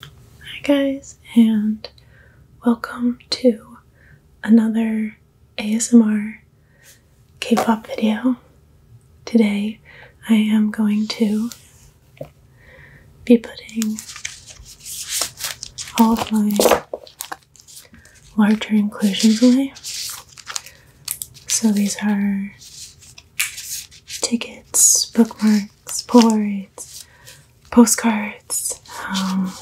Hi guys and welcome to another ASMR K-pop video. Today I am going to be putting all of my larger inclusions away. So these are tickets, bookmarks, Sports, postcards, um,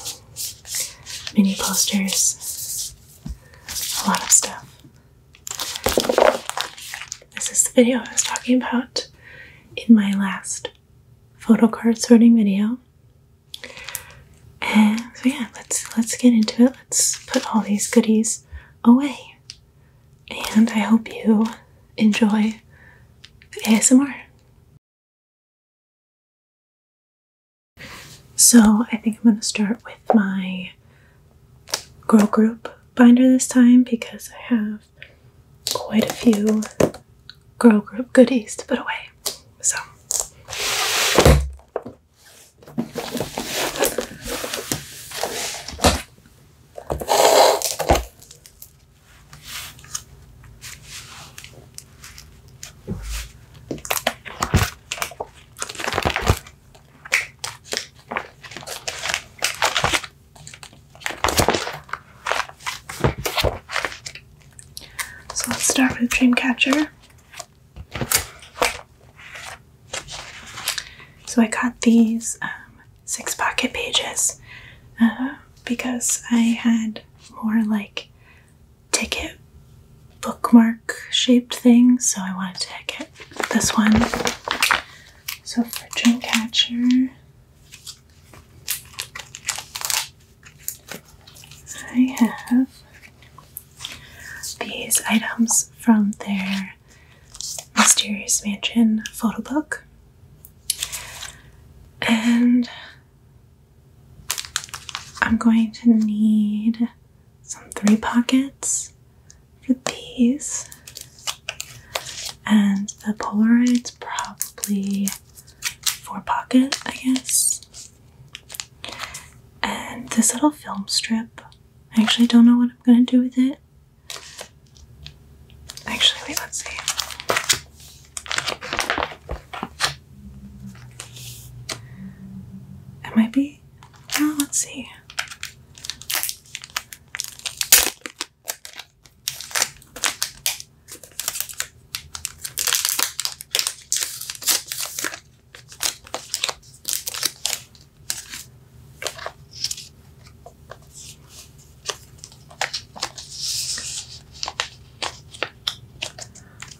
mini posters, a lot of stuff. This is the video I was talking about in my last photo card sorting video. And so yeah, let's let's get into it. Let's put all these goodies away and I hope you enjoy ASMR. So, I think I'm going to start with my girl group binder this time because I have quite a few girl group goodies to put away. So, so let's start with Dreamcatcher. So I got these um, six pocket pages uh, because I had more like ticket bookmark shaped things, so I wanted to get this one. So for Dreamcatcher, I have these items from their Mysterious Mansion photo book. And I'm going to need some three pockets for these. And the Polaroid's probably four pockets, I guess. And this little film strip, I actually don't know what I'm gonna do with it. Actually, let's see. It might be. Oh, let's see.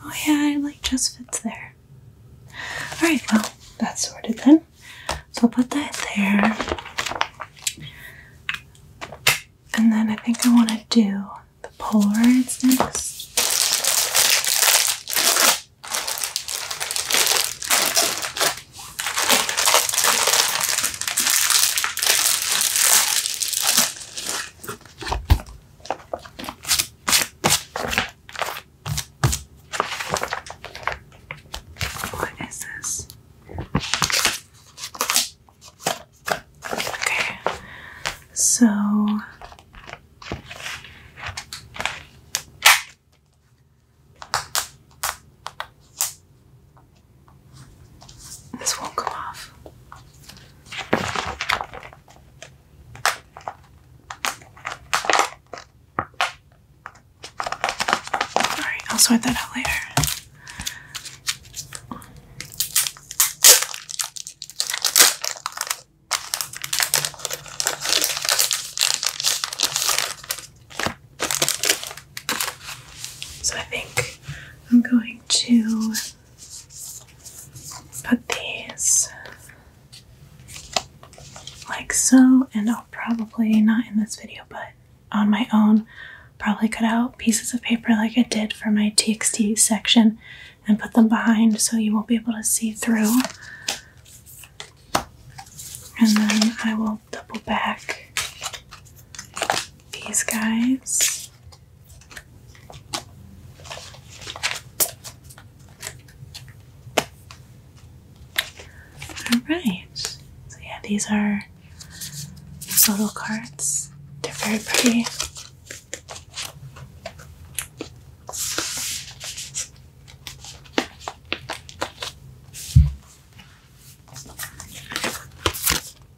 Oh yeah, it like just fits there. Alright, well, that's sorted then. So I'll put that there. And then I think I want to do the Polaroids next. What is this? Okay, so this won't come off. Alright, I'll sort that out later. So I think I'm going to put these like so, and I'll probably not in this video, but on my own, probably cut out pieces of paper like I did for my TXT section and put them behind so you won't be able to see through. And then I will double back these guys. All right. So yeah, these are little cards. They're very pretty.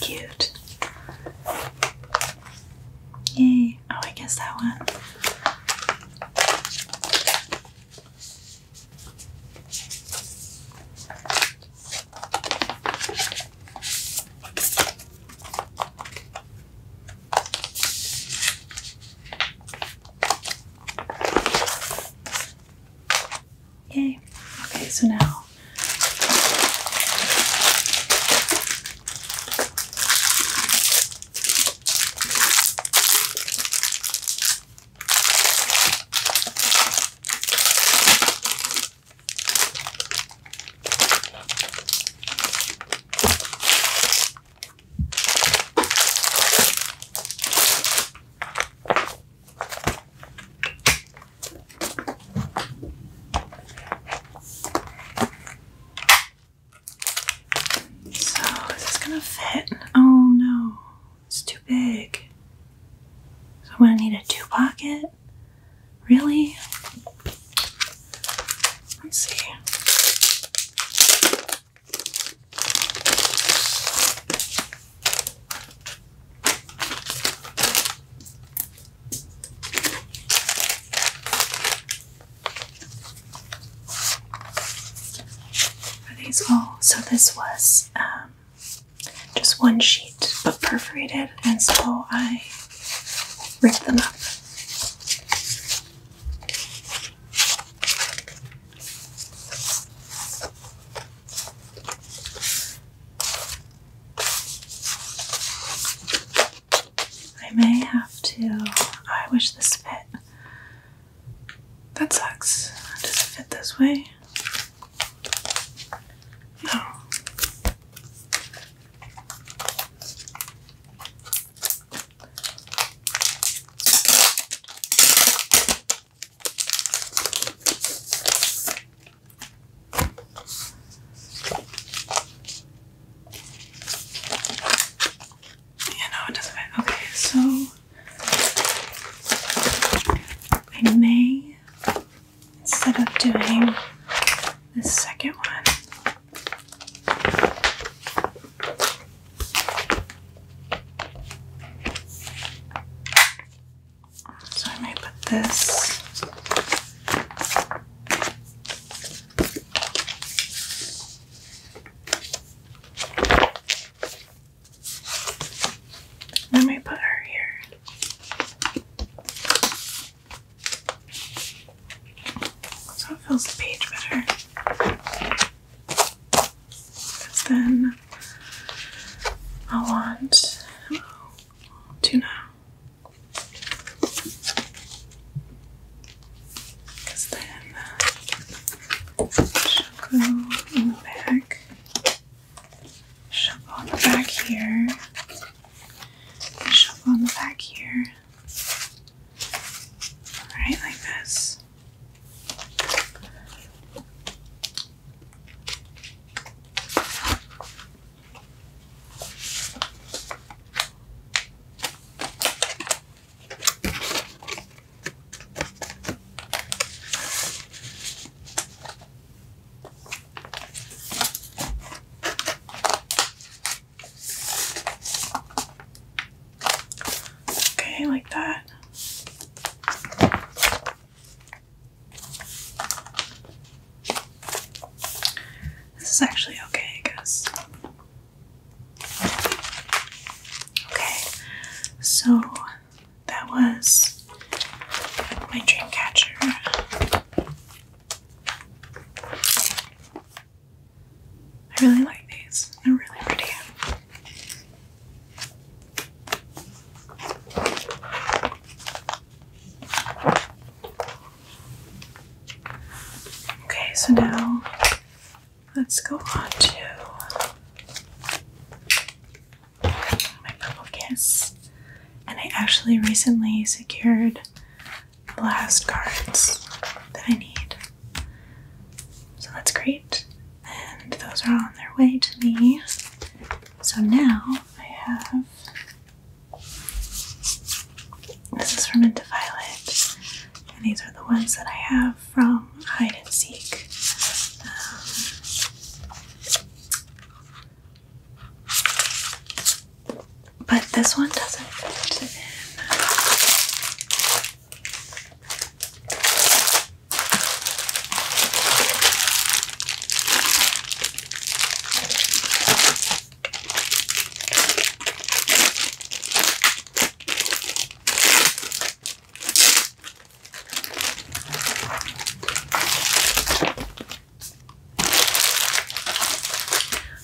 Cute. Yay. Oh, I guess that one. Yay. Okay, so now so, is this gonna fit? Oh no, it's too big. So, I'm gonna need a two pocket? Really? Let's see. Are these all? So this was um, just one sheet, but perforated, and so I ripped them up. I may have to. I wish this fit. That sucks. Does it fit this way? No. Yeah, no, it doesn't matter. Okay, so I may, instead of doing the second one, so I may put this I may put her here. So it fills the page better. Because then I want to know. then uh, shabu in the back. Shabu on the back here. Shabu on the back here. Alright, like this. Okay, like that. This is actually okay, I guess. Okay, so that was my dream catcher. I really like these. They're really pretty. Okay, so now let's go on to my purple kiss. And I actually recently secured blast cards that I need. So that's great and those are on their way to me. So now I have this is from Into Violet, and these are the ones that I have from Hide and Seek. Um, but this one doesn't fit in.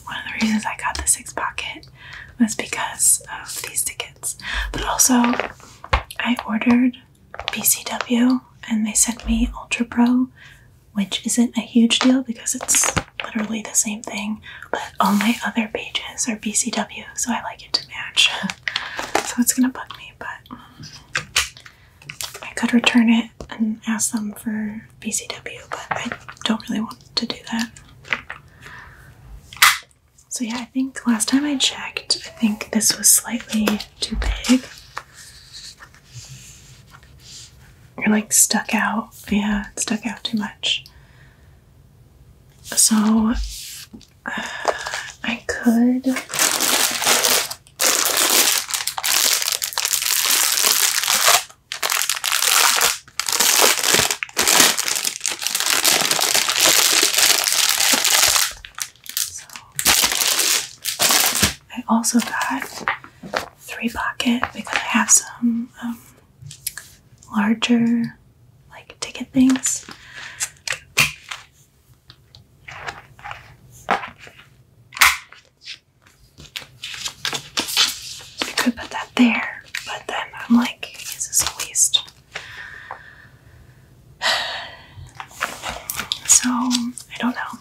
One of the reasons I got the six pocket was because of these tickets, but also I ordered BCW and they sent me Ultra Pro, which isn't a huge deal because it's literally the same thing, but all my other pages are BCW, so I like it to match. so it's gonna bug me, but I could return it and ask them for BCW, but I don't really want to do that. So yeah, I think last time I checked, I think this was slightly too big. You're like stuck out. Yeah, stuck out too much. So I could. So I also got three pocket because I have some um, larger like ticket things. I could put that there, but then I'm like, is this a waste? so I don't know.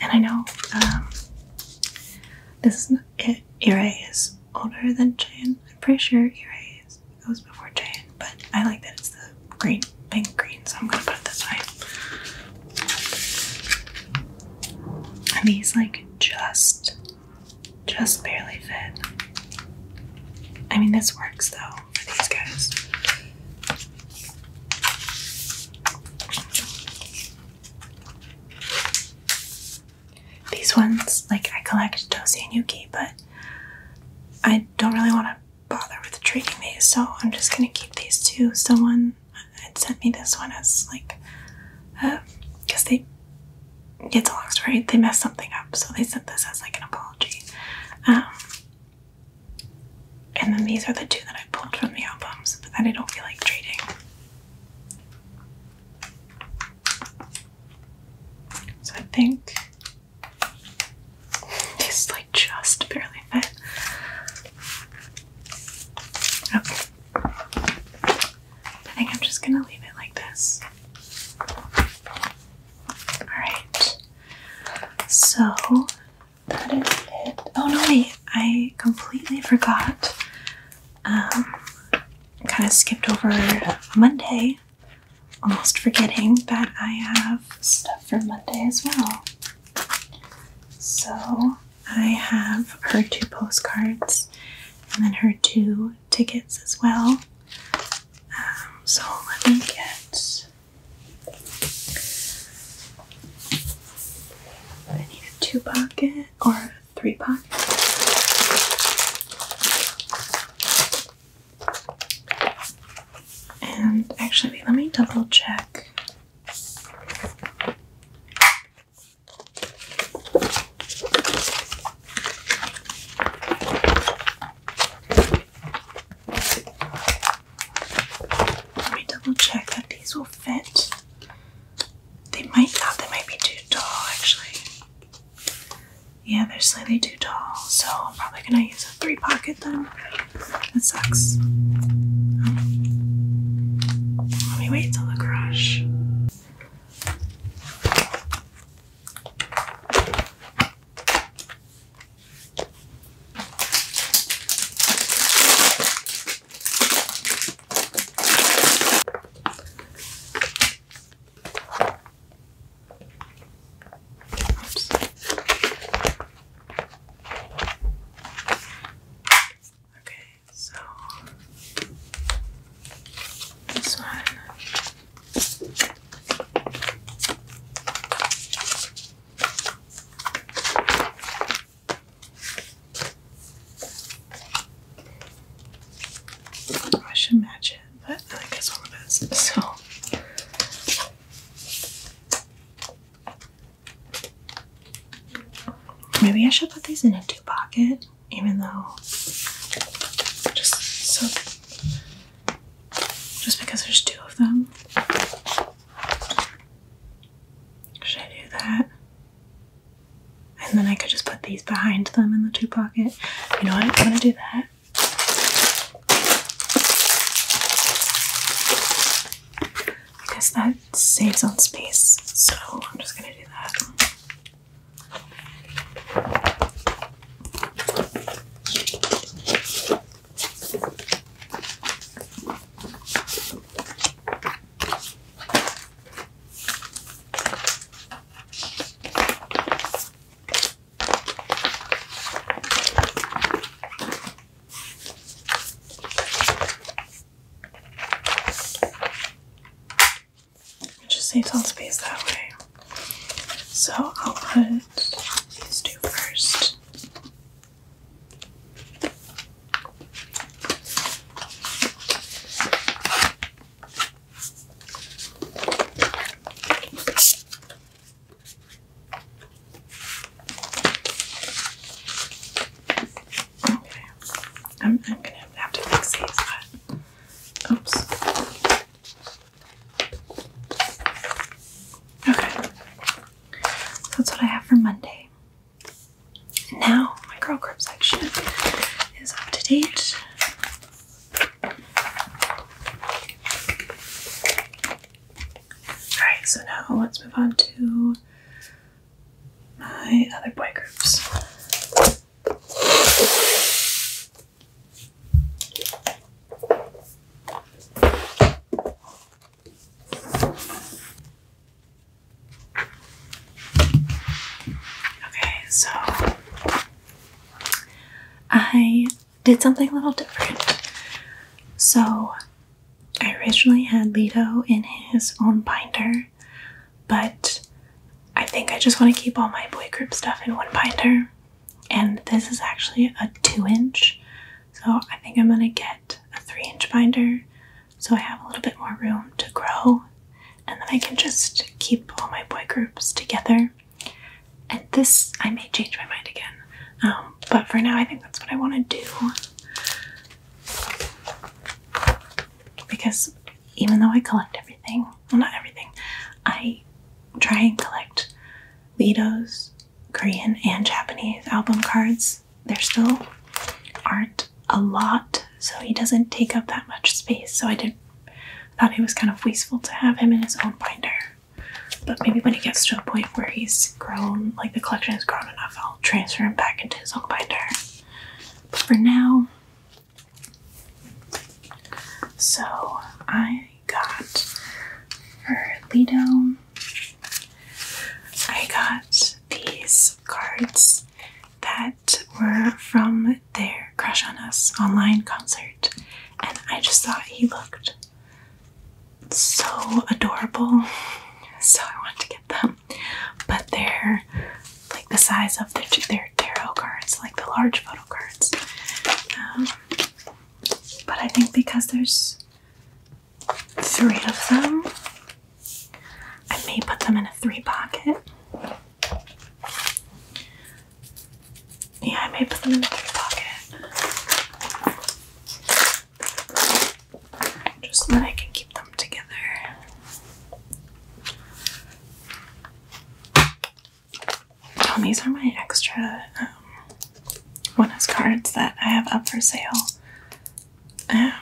And I know um, this is it. Irei is older than Jane. I'm pretty sure Irei was before Jane, but I like that it's the green, pink green, so I'm gonna put it this way. And he's like just, just barely fit. I mean, this works though for these guys. These ones, like I collect Dosi and Yuki, but I don't really want to bother with treating these, so I'm just gonna keep these two. Someone had sent me this one as like, because uh, they, it's a long story. They messed something up, so they sent this as like an apology. Um, and then these are the two that I pulled from the albums, but that I don't feel like trading. So I think these like just barely fit. Okay. Oh. I think I'm just gonna leave it like this. All right. So that is it. Oh no, wait! I completely forgot. Um, kind of skipped over Monday. Almost forgetting that I have stuff for Monday as well. So I have her two postcards and then her two tickets as well. Um, so let me get I need a two pocket or a three pocket. And actually, let me double check. Let me double check that these will fit. They might not, they might be too tall actually. Yeah, they're slightly too tall, so I'm probably gonna use a three pocket then. That sucks. Um, let me wait till the garage. Oops. Okay, so this one I should match it, but I like it's one of those. So maybe I should put these in a two pocket, even though just so just because there's two of them. Should I do that? And then I could just put these behind them in the two pocket. You know what? I'm gonna do that. Because that saves on space, so I'm just gonna do that. Just needs all space that way. So I'll put these two first. Okay. I'm, I'm gonna have to fix these, but oops. Okay. that's what I have for Monday. And now my girl group section is up to date. Alright, so now let's move on to my other boy groups. Okay, so I did something a little different. So I originally had Leto in his own binder, but I think I just want to keep all my boy group stuff in one binder and this is actually a two inch so i think i'm going to get a three inch binder so i have a little bit more room to grow and then i can just keep all my boy groups together and this i may change my mind again um, but for now i think that's what i want to do because even though i collect everything well not everything i try and collect Litos Korean and Japanese album cards. There still aren't a lot, so he doesn't take up that much space. So I did thought it was kind of wasteful to have him in his own binder. But maybe when he gets to a point where he's grown, like the collection has grown enough, I'll transfer him back into his own binder. But for now, so I I got for I got these cards that were from their Crush on Us online concert, and I just thought he looked so adorable, so I wanted to get them. But they're like the size of their, tarot cards, like the large photo cards. Um, but I think because there's three of them. I may put them in a three pocket. Yeah, I may put them in a three pocket. Just so that I can keep them together. these are my extra um, one of his cards that I have up for sale. Um,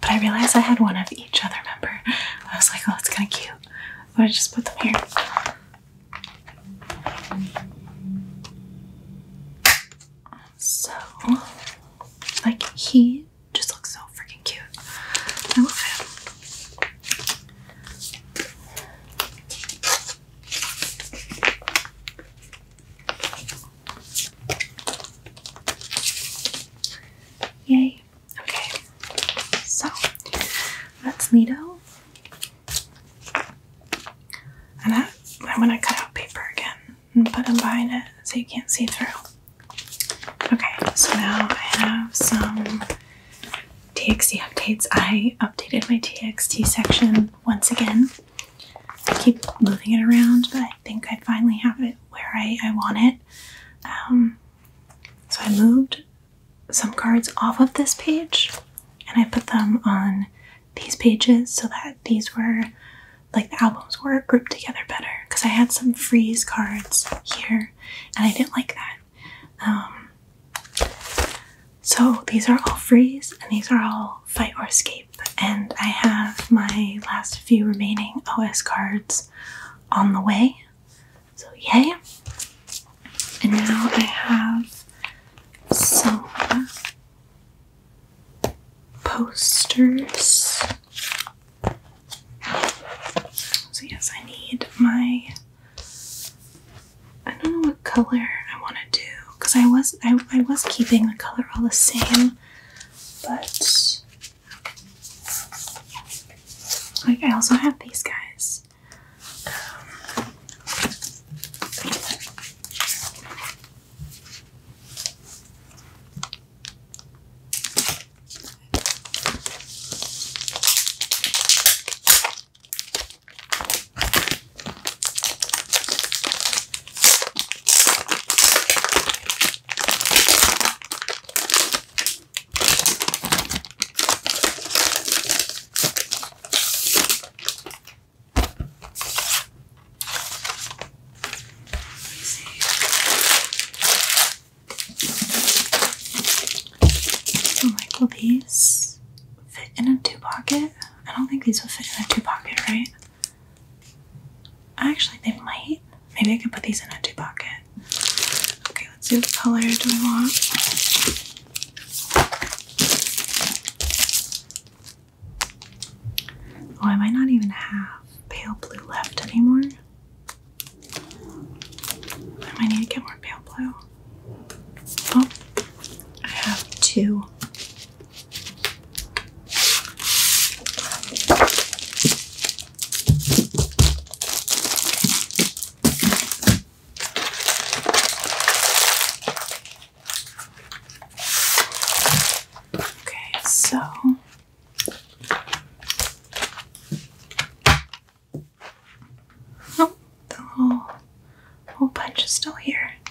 but I realized I had one of each other member. I was like, oh, it's kind of cute. But I just put them here. So, like, he just looks so freaking cute. I love him. Yay. Okay. So that's Lido. And I'm gonna cut out paper again and put them behind it so you can't see through. Okay, so now I have some TXT updates. I updated my TXT section once again. I keep moving it around, but I think I finally have it where I, want it. Um, so I moved some cards off of this page and I put them on these pages so that these were like the albums were grouped together better because I had some freeze cards here and I didn't like that. Um, so these are all freeze and these are all fight or escape. And I have my last few remaining OS cards on the way. So yay. And now I have some posters. So yes, I need my I don't know what color I want to do because I was I, I was keeping the color all the same, but I also have these guys. Like, will these fit in a two pocket? I don't think these would fit in a two pocket, right? Actually, they might. Maybe I could put these in a two pocket. Okay, let's see what color do we want. Oh, I might not even have pale blue left anymore. I might need to get more pale blue. Oh, I have two. Okay, so oh, the whole whole bunch is still here.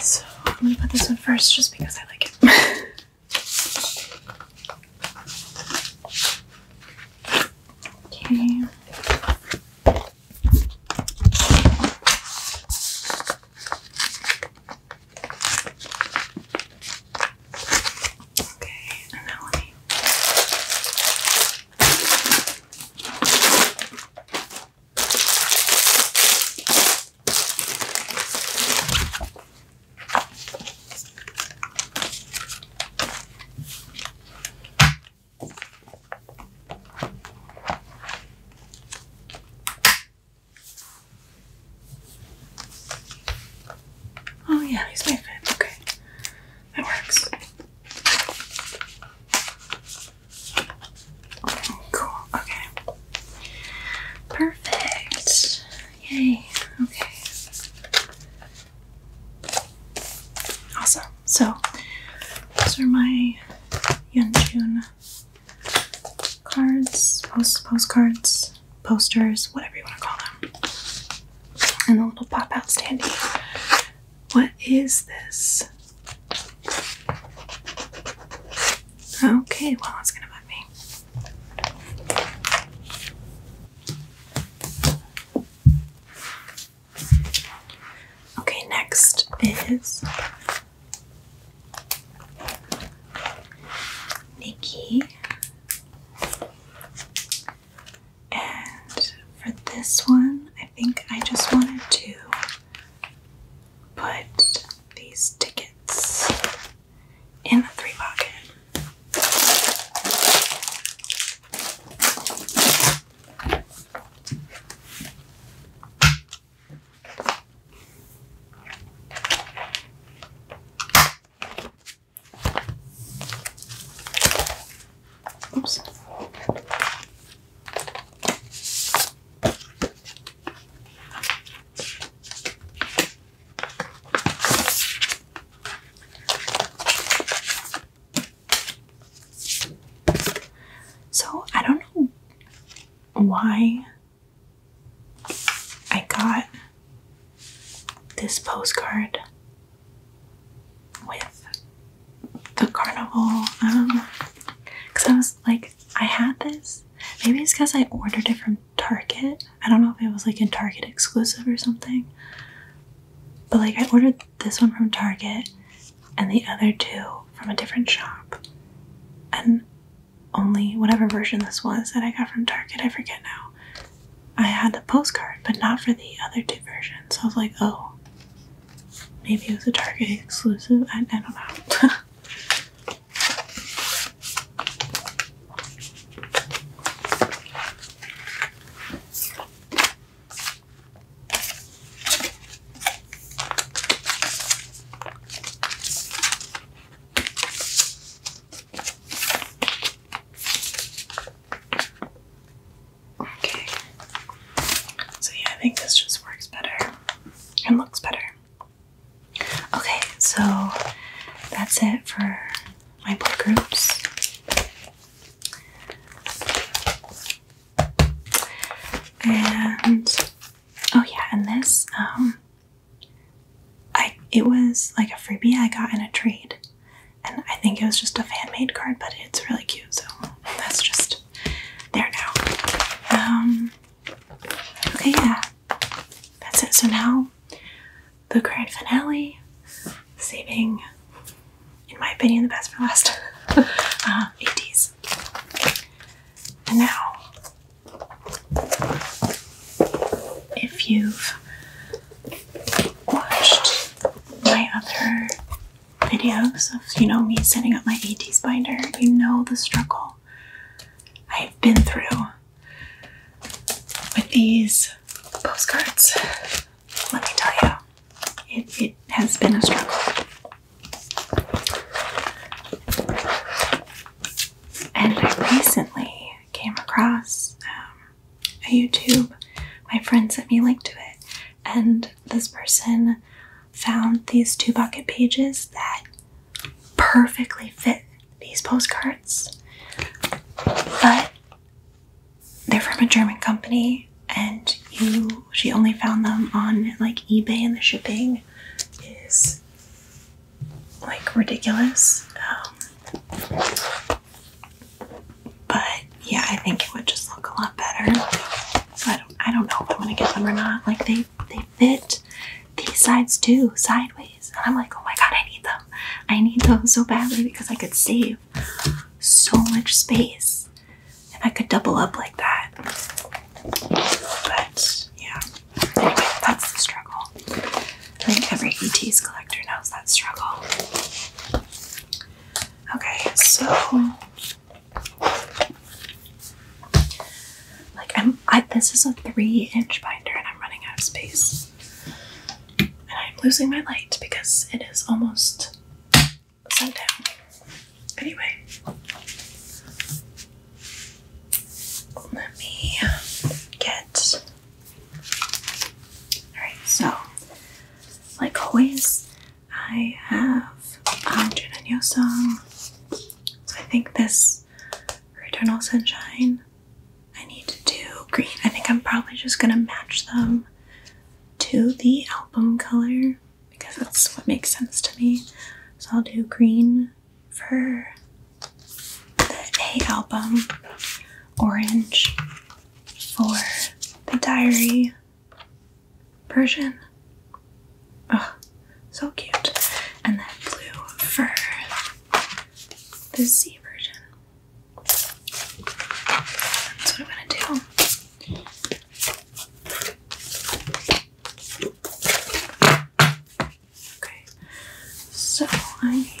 So I'm gonna put this one first just because I like it. okay. Okay, and Oh yeah, he's my friend. Okay. That works. Cool. Okay. Perfect. Yay. Okay. Awesome. So those are my Yunjun cards, post postcards, posters, whatever you want to call them. And the little pop-out standee. What is this? Okay, well, that's gonna bug me. Okay, next is Nikki. And for this one, I think I just wanted to put these tickets in the three pocket. Oops. So, I don't know why I got this postcard with the carnival, because um, I was like I had this. Maybe it's because I ordered it from Target. I don't know if it was like a Target exclusive or something. But like I ordered this one from Target and the other two from a different shop. And only whatever version this was that I got from Target, I forget now. I had the postcard, but not for the other two versions. So I was like, oh, maybe it was a Target exclusive. I, I don't know. Okay. So, yeah, I think this just works better and looks better. Okay, so that's it for my book groups. And oh yeah, and this um I it was like a freebie I got in a trade. And I think it was just a fan-made card, but it's really cute, so that's just there now. Um Okay, yeah. That's it. So now the grand finale, saving, in my opinion, the best for last. uh, 80s. And now, if you've watched my other videos of, you know, me setting up my 80s binder, you know the struggle I have been through with these postcards. Let me tell you, it, has been a struggle. And I recently came across um, a YouTube. My friend sent me a link to it, and this person found these two bucket pages that perfectly fit these postcards. But they're from a German company and you she only found them on like eBay and the shipping is like ridiculous. Um, but yeah, I think it would just look a lot better. So I don't I don't know if I'm gonna get them or not. Like they they fit these sides too, sideways. And I'm like, oh my god, I need them. I need them so badly because I could save so much space if I could double up like that. But yeah, that's the struggle. I think every ET's collector knows that struggle. Okay, so like I'm I this is a three inch binder and I'm running out of space. And I'm losing my light because it is almost sundown. Anyway. Let me get Alright, so like always I have um Jun and Yosung so I think this for Eternal Sunshine, I need to do green. I think I'm probably just gonna match them to the album color because that's what makes sense to me. So I'll do green for the A album, orange for the diary, Persian. Oh, so cute. And that blue fur. The sea version. That's what I'm gonna do. Okay, so I need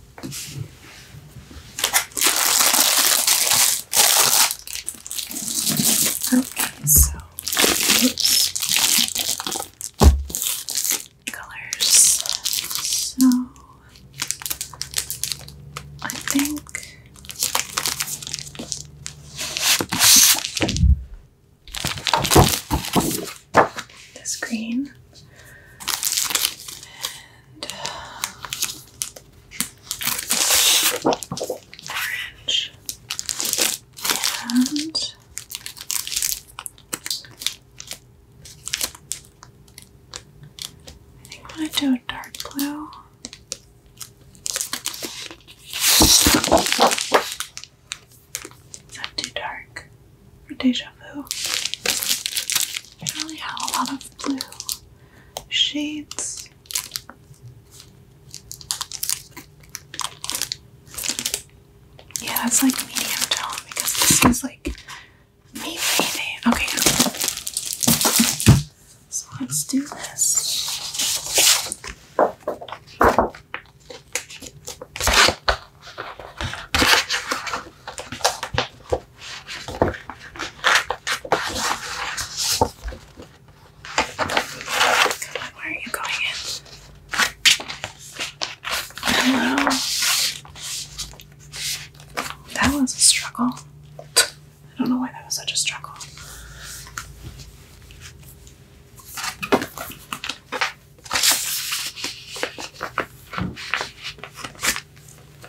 Okay, so colors. So I think this green and and I think I'm going to do a dark blue. Is that too dark? Or deja vu? I really have a lot of blue shades. Yeah, that's like medium tone because this is like me baby. Okay. So let's do this where are you going in? Hello. That was a struggle. I don't know why that was such a struggle.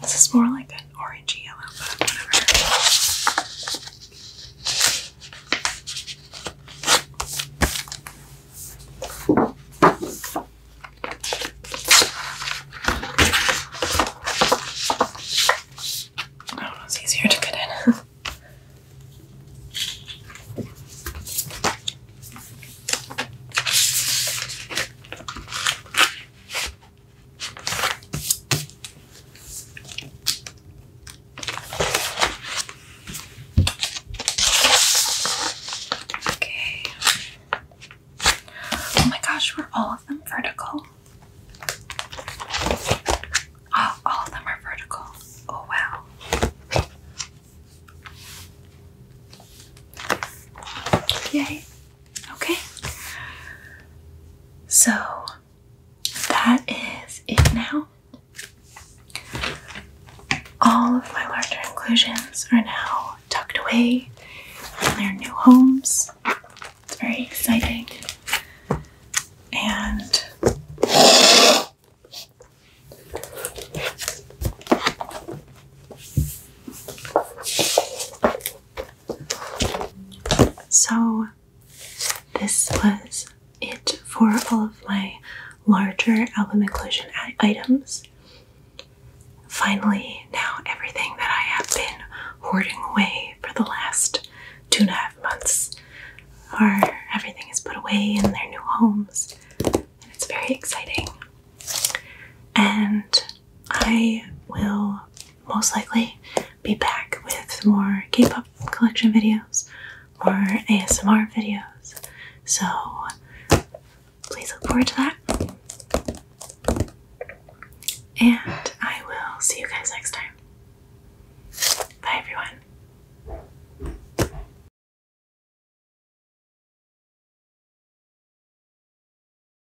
This is more like an orangey yellow, but whatever. Oh, it's easier to get in. Okay. Oh my gosh, were all of them vertical? Oh, all of them are vertical. Oh wow. Yay. Okay. So that is it now. All of my larger inclusions are now tucked away in their new homes. It's very exciting. And so, this was it for all of my larger album inclusion items. Finally, now everything that I have been hoarding away for the last two and a half months are everything is put away in their new homes, and it's very exciting. And I will most likely be back with more K pop collection videos or ASMR videos. So please look forward to that. And I will see you guys next time. Bye, everyone.